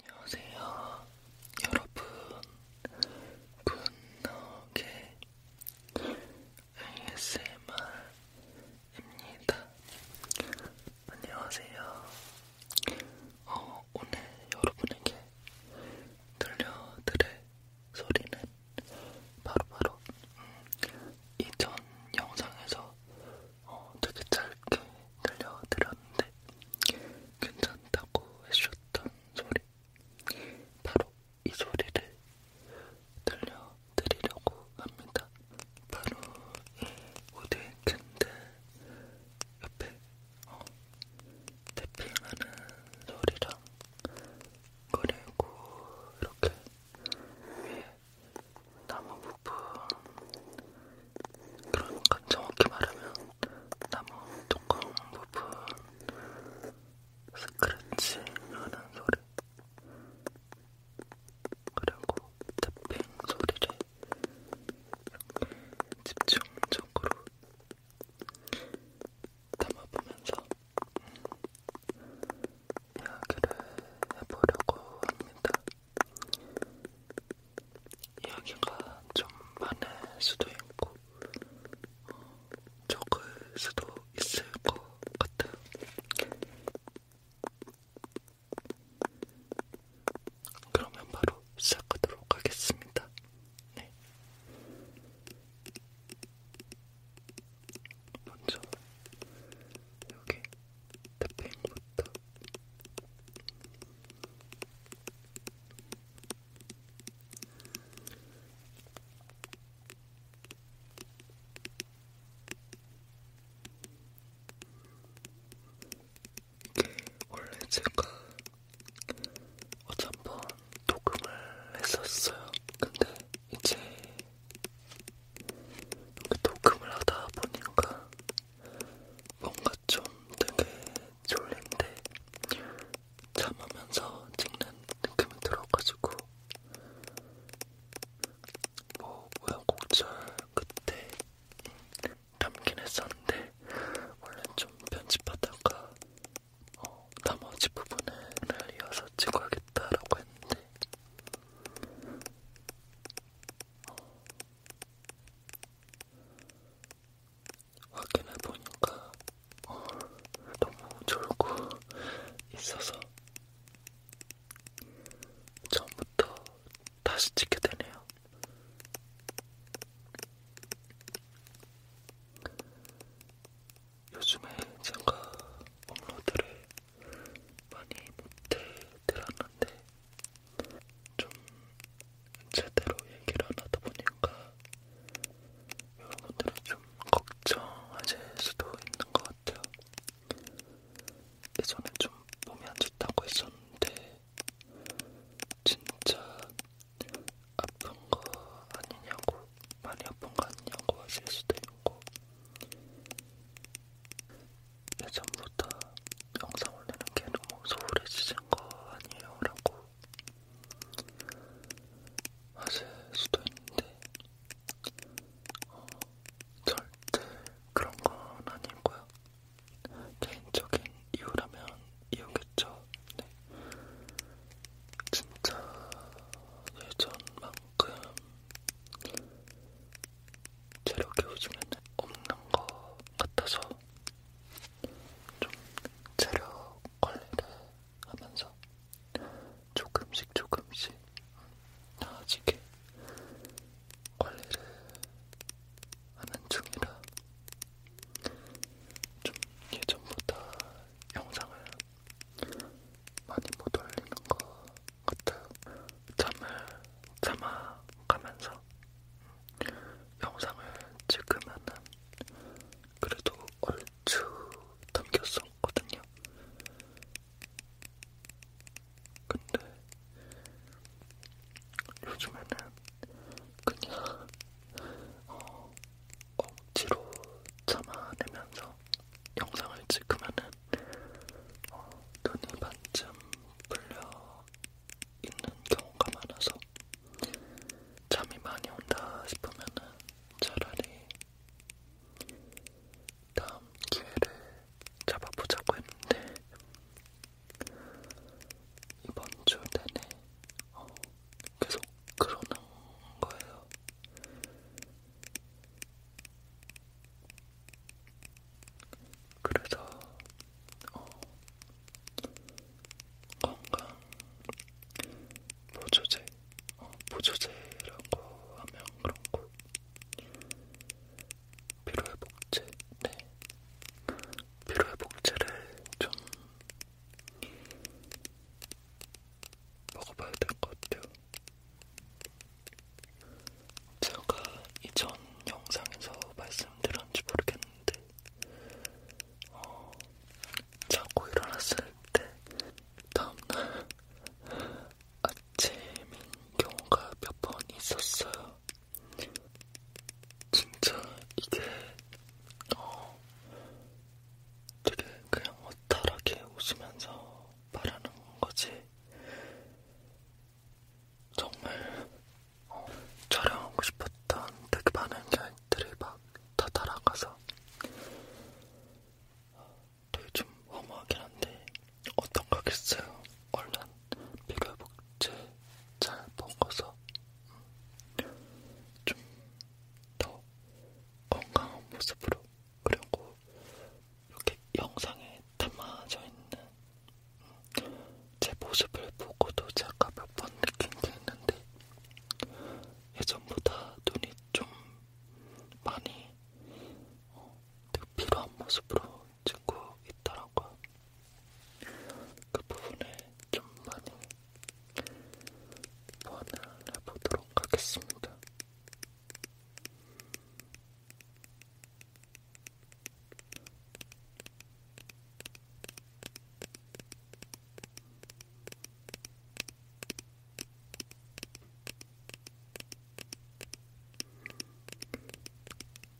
안녕하세요, 여러분. 굿노게 ASMR입니다. 안녕하세요. 어, 오늘 여러분에게 들려드릴 소리는 바로바로 바로, 음, 이전 영상에서 되게 짧게 들려드렸는데 괜찮다고 해주셨던 소리 바로 이 소리를 들려드리려고 합니다. 바로 우디 캔들 옆에 어, 태핑하는 소리랑 그리고 이렇게 위에 나무 부분 그러니까 정확히 말하면 나무 뚜껑 부분 스크래치 하는 소리 그리고 탭핑 소리를 집중적으로 담아보면서 음, 이야기를 해보려고 합니다. 이야기가 좀 많을 수도 있고 적을 수도 있을 것 같아요. 그러면 바로 시작하도록 하겠습니다. 네. 먼저 여기 탭핑부터 이게 원래 제가 어제 한번 녹음을 했었어요. 근데 이제 이렇게 녹음을 하다 보니까 뭔가 좀 되게 졸린데 잠하면서 찍는 느낌이 들어가지고 뭐 우여곡절 그때 담긴 했었는데 원래 좀 편집하다가 어, 나머지 부분을 이어서 찍어야겠다라고 했는데 어, 확인해보니까 어, 너무 졸고 있어서 처음부터 다시 찍게 되네요. 요즘에 제가 업로드를 많이 못해드렸는데 좀 제대로 얘기를 안 하다 보니까 여러분들은 좀 걱정하실 수도 있는 것 같아요. 예전에 좀 몸이 안 좋다고 했었는데 진짜 아픈 거 아니냐고 많이 아픈 거 아니냐고 하실 수도 있고 예전부터 영상 올리는 게 너무 소홀해지신 거 아니에요? 라고 하실 수도 있는데 어, 절대 그런 건 아니고요. 개인적인 이유라면 이유겠죠. 네. 진짜 예전만큼 체력이 요즘에는 없는 것 같아서 좀 체력 관리를 하면서 조금씩 조금씩 나아지게 관리를 하는 중이라 좀 예전보다 영상을 많이 못 올리는 것 같아요. 잠을 참아가면서 영상을 찍으면은 그래도 얼추 담겼었거든요. 근데 요즘에는 그냥 어, 억지로 참아내면서 영상을 찍으면은 어, 눈이 반쯤 풀려 있는 경우가 많아서 잠이 많이 온다 싶으면은 차라리 다음 기회를 잡아보자고 했는데 이번 주 내내 어, 계속 그러는 거예요. 그래서 어, 건강 보조제, 어, 보조제라고 하면 그렇고 피로회복제, 네 피로회복제를 좀 먹어봐야 될 것 같아요. 제가 이전 영상에서 말씀드렸는지 모르겠는데 어, 자고 일어났을 때 다음날 아침인 경우가 몇 번 있었어요. 진짜 이게 어, 되게 그냥 어탈하게 웃으면서 말하는 거지 정말 어, 촬영하고 싶었던 되게 많은 기들이 막다 따라가서 되게 좀 허무하긴 한데 어떤가겠어요. 얼른 비교복제 잘 먹어서 음, 좀더 건강한 모습으로 그리고 이렇게 영상에 담아져 있는 제 모습을 보고도 제가 몇번 느낀게 있는데 예전보다 눈이 좀 많이 어, 필요한 모습으로 찍고 있더라고요. 그 부분에 좀 많이 보완을 해보도록 하겠습니다.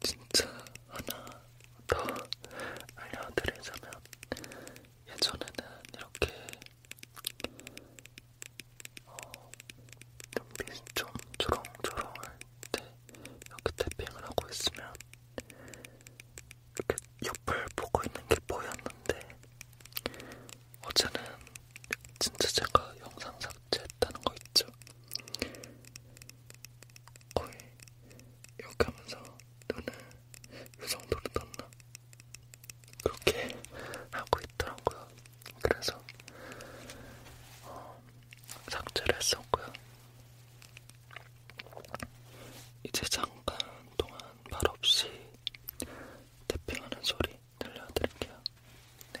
진짜 하나 더 알려드리자면 예전에는 이렇게 어, 눈빛이 좀 주렁주렁할 때 이렇게 태핑을 하고 있으면 이렇게 옆을 보고 있는 게 보였는데 어제는 진짜 제가 영상 삭제했다는 거 있죠? 거의 이렇게 하면서 눈을 이 정도로 떴나? 그렇게 하고 있더라고요. 그래서 어, 삭제를 했었고요. 이제 잠깐 동안 말 없이 태핑하는 소리 들려드릴게요. 네.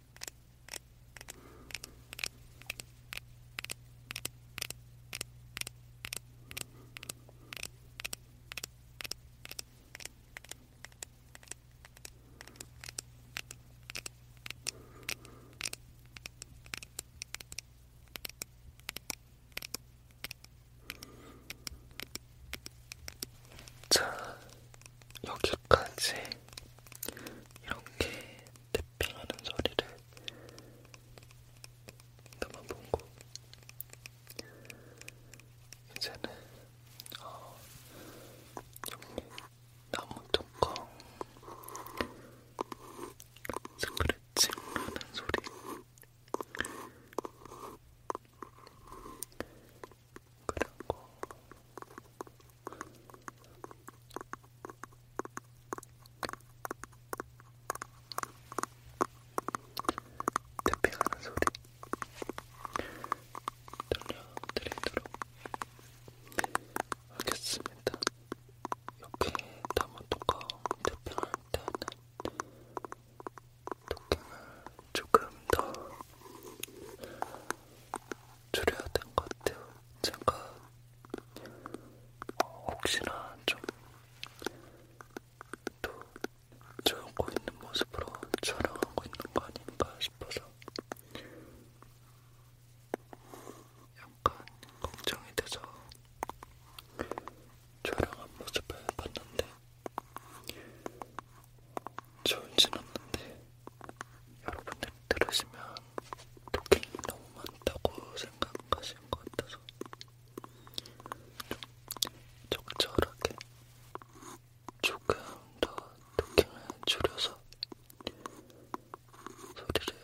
자, 여기까지 이렇게 탭핑하는 소리를 담아보고 이제는 어, 여기 나무 뚜껑 스크래칭 하는 소리 그리고 탭핑하는 소리 들려드리도록 하겠습니다. 이렇게 담은 뚜껑 탭핑할 때는 뚜껑을 조금 더 줄여야 될것 같아요. 제가 혹시나 좀또 졸고 있는 모습으로 촬영하고 있는 거 아닌가 싶어서 약간 걱정이 돼서 촬영한 모습을 봤는데 좋은진 않는데 여러분들 들으시면 토킹이 너무 많다고 생각하시는 것 같아서 좀 적절하게 조금 더 토킹을 줄여서 소리를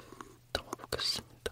담아보겠습니다.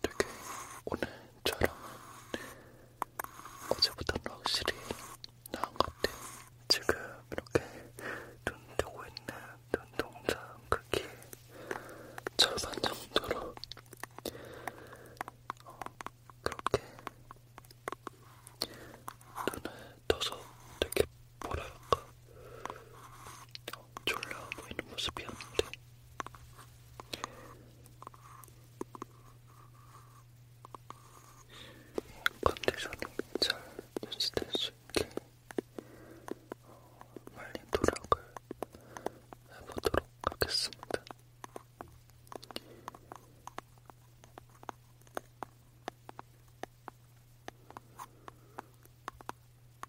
되게 오늘 촬영은 어제보다는 확실히 나은 것 같아요. 지금 이렇게 눈 뜨고 있는 눈동자 크기 절반 정도로 어, 그렇게 눈을 떠서 되게 뭐랄까 졸라 보이는 모습이었는데 컨디션이 잘 유지될 수 있게 말린 어, 도락을 해보도록 하겠습니다.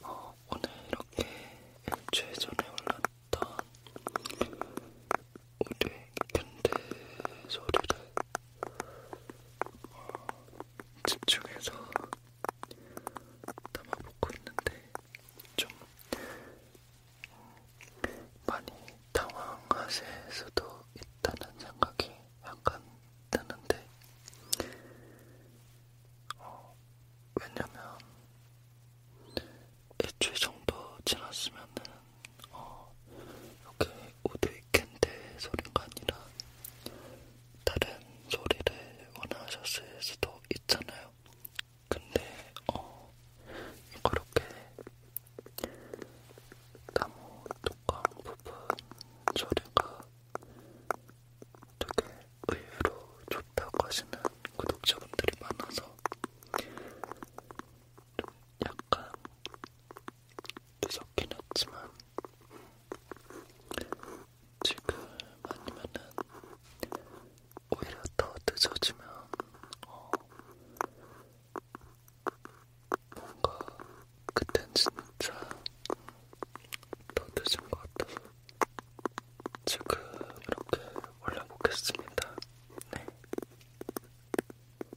어, 오늘 이렇게 일주일 전에 올랐던 우리 견대 소리를 어, 집중해서 담아보고 있는데 좀 많이 당황하실 수도 있다는 생각이 약간 드는데 어, 왜냐면 일주일 정도 지났으면은 어, 이렇게 우드 위켄드 소리가 아니라 다른 소리를 원하셨을 수도 있잖아요. 근데 어 그렇게 나무 뚜껑 부분 소리가 되게 의외로 좋다고 하시는 구독자분들이 많아서 좀 약간 늦었긴 했지만 지금 아니면은 오히려 더 늦어지면 어 뭔가 그땐 진짜 더 늦은 것 같아서 지금 이렇게 올려보겠습니다. 네.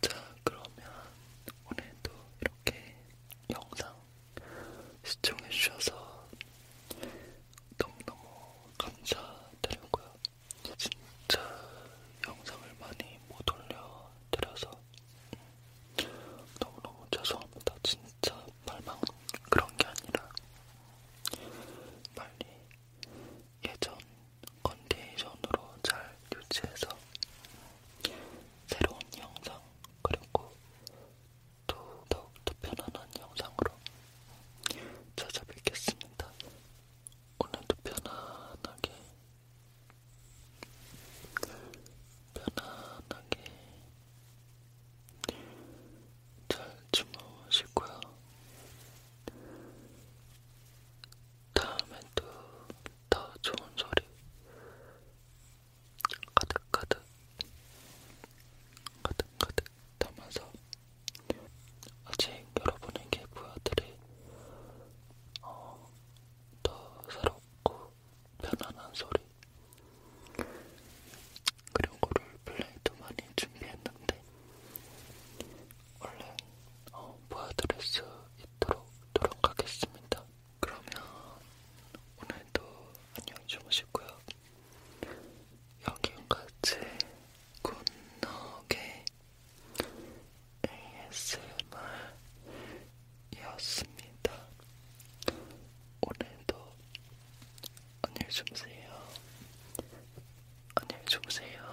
자, 그러면 오늘도 이렇게 영상 시청해주셔서 너무너무 감사드리고요. 진짜 영상을 많이 못 올려드려서 너무너무 죄송합니다. 진짜 말만 그런 게 아니라 빨리 예전 컨디션으로 잘 유지해서 새로운 영상 그리고 또 더욱더 편안한 영상으로 찾아뵙겠습니다. 오늘도 편안하게 편안하게 잘 주무시고요. 다음에 또더 좋은 소리 가득가득 가득가득 담아서 아직 여러분에게 보여드릴 어, 더 새롭고 편안한 소리 그런 거를 플레이도 많이 준비했는데 얼른 어, 보여드릴 수 있도록 노력하겠습니다. 그러면 오늘도 안녕히 주무시고요. 여기까지 굿노게 ASMR이었습니다. 오늘도 안녕히 주무세요. 안녕히 주무세요.